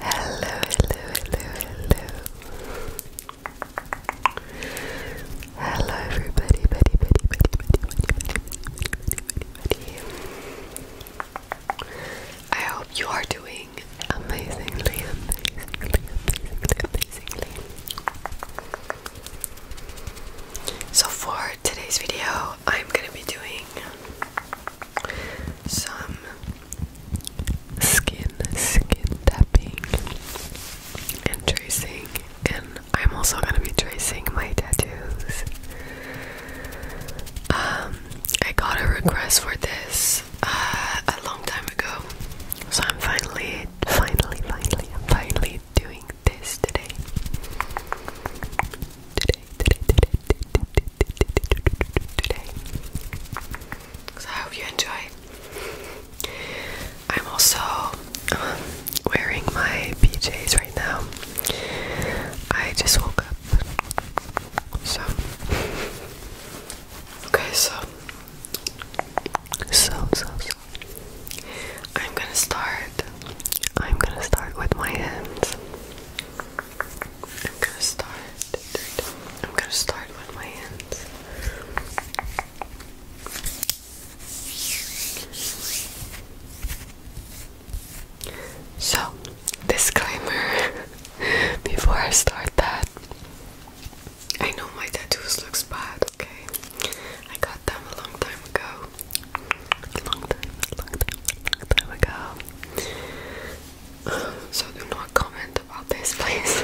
Hello, hello, hello, hello. Hello, everybody, buddy, buddy, buddy, buddy, buddy, buddy, buddy, buddy. I hope you are doing amazingly, amazingly, amazingly, amazingly. So for today's video, I'm gonna be doing some skin skin tapping and tracing and I'm also gonna be tracing my tattoos. Um I got a request for this uh, a long time ago. So I'm finally finally finally finally doing this today. Today so I hope you enjoy. I'm also um, wearing my PJs right now. I just woke up. So okay, so so so so. I'm gonna start. I'm gonna start with my hands. I'm gonna start. I'm gonna start with my hands. So, disclaimer before I start that, I know my tattoos looks bad, okay? I got them a long time ago long time, long time, ago. So do not comment about this, please.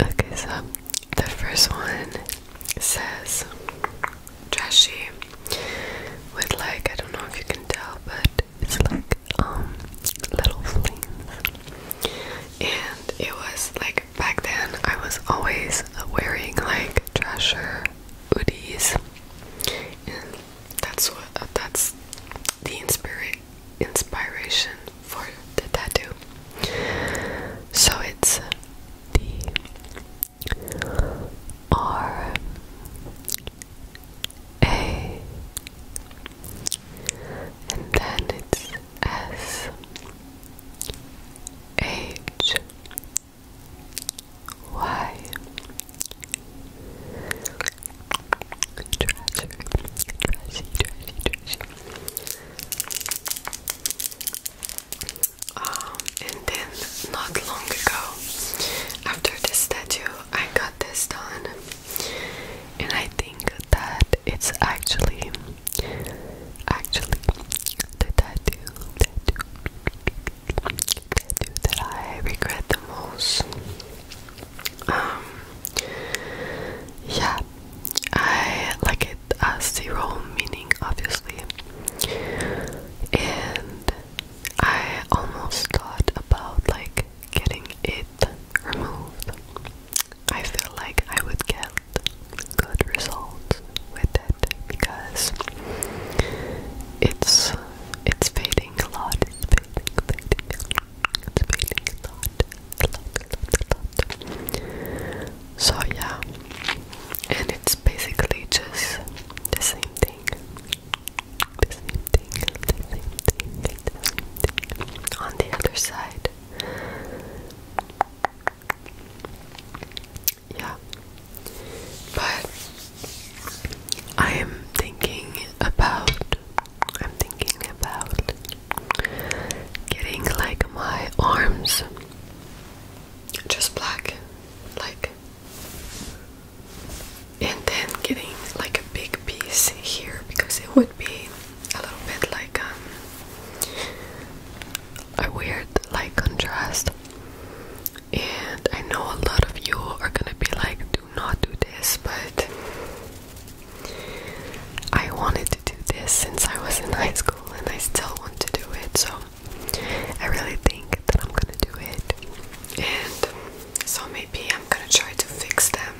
okay, so the first one says trashy with like I don't know if you can tell, but it's like um little flames, and it was like back then I was always wearing like. Treasure or that's what uh, that's the inspira inspiration for the tattoo. So it's the R A, and then it's S H why? Um, and then not long ago, after this statue, I got this done, and I think that it's actually Actually, the tattoo, tattoo, tattoo that I regret the most. Um, yeah, I like it as zero meaning, obviously, and I almost thought about like getting it removed I feel like I would get good results with it because it's it's fading a lot. It's fading, a lot, So yeah, and it's basically just the same thing. On the other side, yeah. But I am thinking about I'm thinking about getting like my arms just black like and then getting like a big piece here because it would be a little bit like um, a weird like contrast. And I know a lot of you are gonna be like, do not do this, but I wanted to do this since I was in high school and I still want to do it, so I really think that I'm gonna do it. And so maybe I'm gonna try to fix them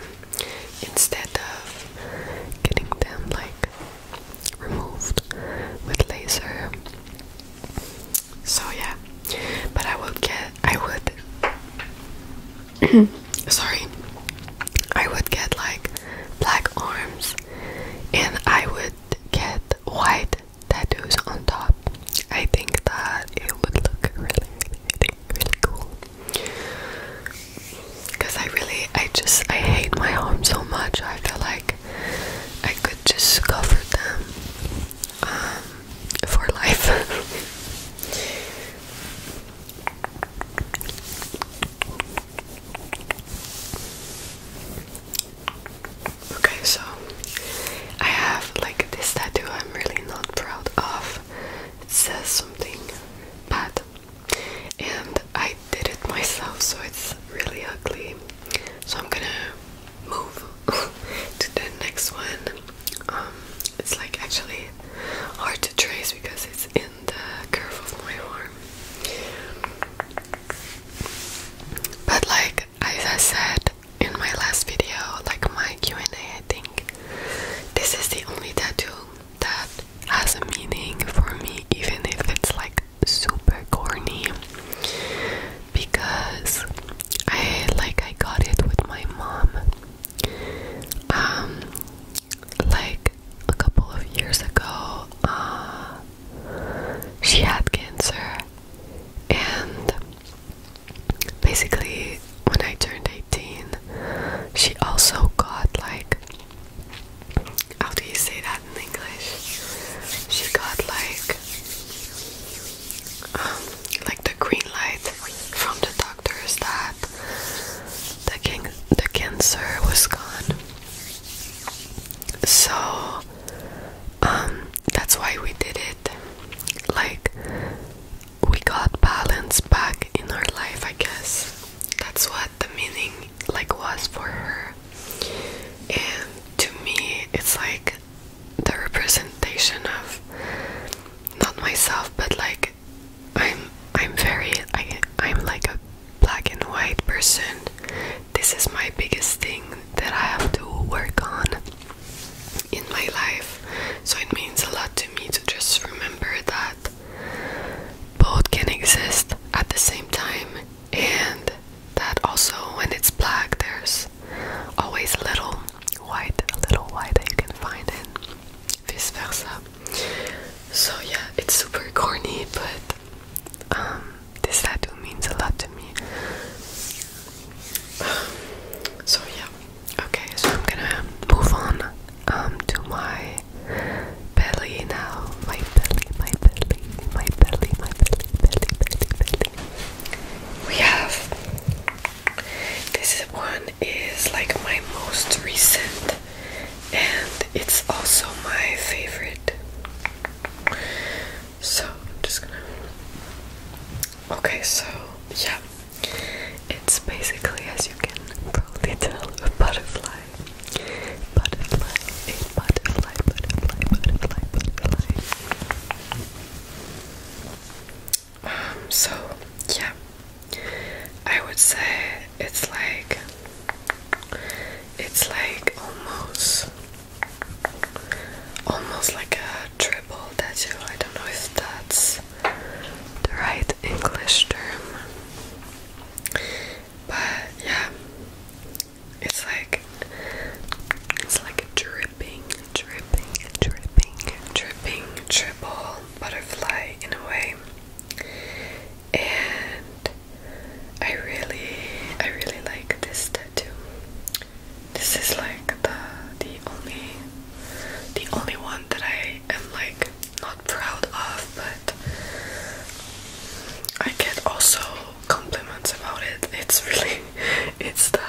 instead of getting them like removed with laser. So yeah, but I would get. I would. sorry, I would get like black arms, and I would get white tattoos on top. I think that it would look really, really cool. Cause I really, I just, I hate my home so much. I feel like I could just cover them um, for life. okay, so I have like this tattoo. I'm really not proud of. It says something but and I did it myself, so it's really ugly. So I'm gonna move to the next one. Um, it's like actually hard to trace because it's in the curve of my arm. But like as I said in my last video, like my Q&A, I think this is the only tattoo that has a meaning for me, even if it's like super corny. Because I like I got it with my mom um like a couple of years ago uh she had cancer and basically when I turned 18, she also got like how do you say that in English? She got like um, like the green light from the doctors that the king the cancer was gone. So um that's why we did it. Like we got balance back in our life, I guess. That's what the meaning like was for her. And to me, it's like the representation of not myself, but like I'm I'm very I I'm like a black and white person. This is my biggest thing that I have to work on in my life. So it means a lot to me to just remember that both can exist at the same time and that also when it's black there's always a little white, a little white that you can find and vice versa. So yeah, it's super corny but um, this tattoo means a lot to me. so yeah. Okay, so I'm gonna move on um, to my belly now. My belly, my belly, my belly, my belly, belly, belly, belly. We have this one is like my most recent, and it's also my favorite. So I'm just gonna. Okay, so yeah, it's basically, as you can probably tell, a butterfly. Butterfly, a butterfly, butterfly, butterfly, butterfly. Um, so, yeah. I would say it's like. It's like almost almost like a triple tattoo. I don't know if that's the right English term, but yeah, it's like it's like a dripping, dripping, dripping, dripping triple butterfly in a way, and I really, I really like this tattoo. This is like the the only the only one that I am like not proud of, but I get also compliments about it. It's really it's the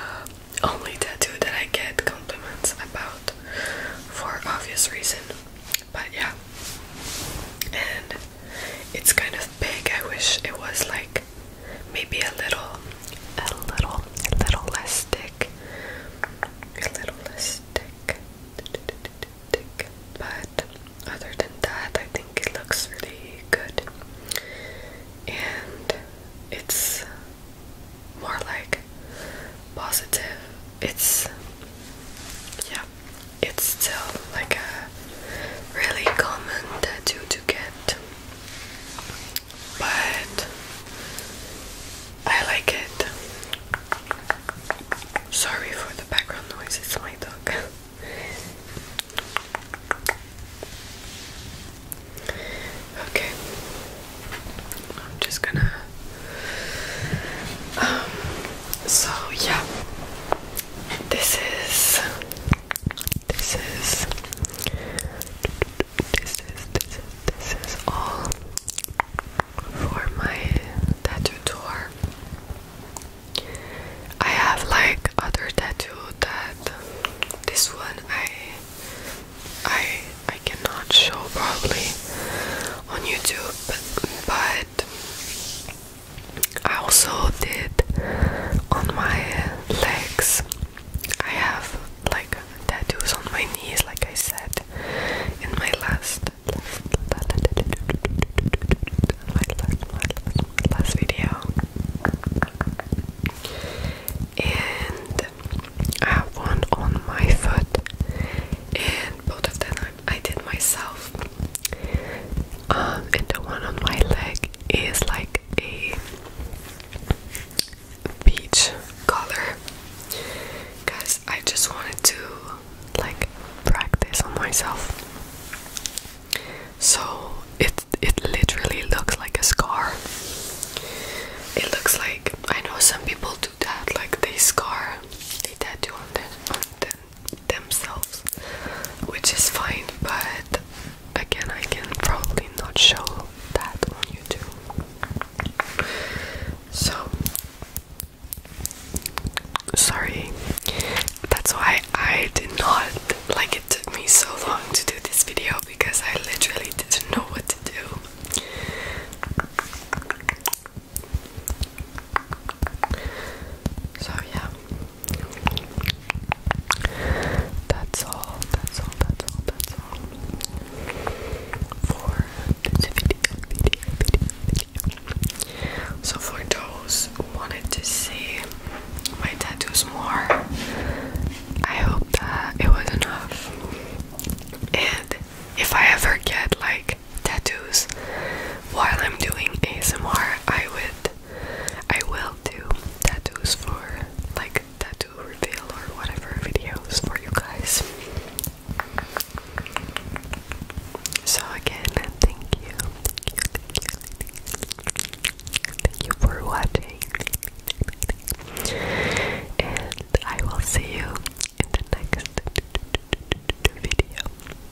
only tattoo that I get compliments about for obvious reason. But yeah. And it's kind of big. I wish it was like maybe a little, a little, little less thick, a little less thick. But other than that, I think it looks really good, and it's more like positive. It's yeah, it's still like a really common tattoo to get but I like it. Sorry for the background noise, it's my dog. okay, I'm just gonna. Um, so, yeah, this is this is this is this is this is all for my tattoo tour. I have like other tattoo that this one I I I cannot show probably on YouTube but I also did on my legs. I have like tattoos on my knees, like I said in my last, last, my last, my last, my last video. And I have one on my foot, and both of them I, I did myself. Um, and the one on my leg is like a peach color. Guys, I just wanted to like practice on myself. So it it literally looks like a scar. It looks like I know some people do that, like they scar, they tattoo on their on their themselves, which is fine, but again, I can probably not show that on YouTube. So, sorry, that's why I did not like it, took me so long to do this video because I literally didn't know what to do. So, yeah, that's all, that's all, that's all, that's all So for those who wanted to see my tattoos more, I hope that it was enough. And if I ever get like tattoos while I'm doing ASMR, I would I will do tattoos for like tattoo reveal or whatever videos for you guys. So again, thank you. Thank you for watching. And I will see you in the next video.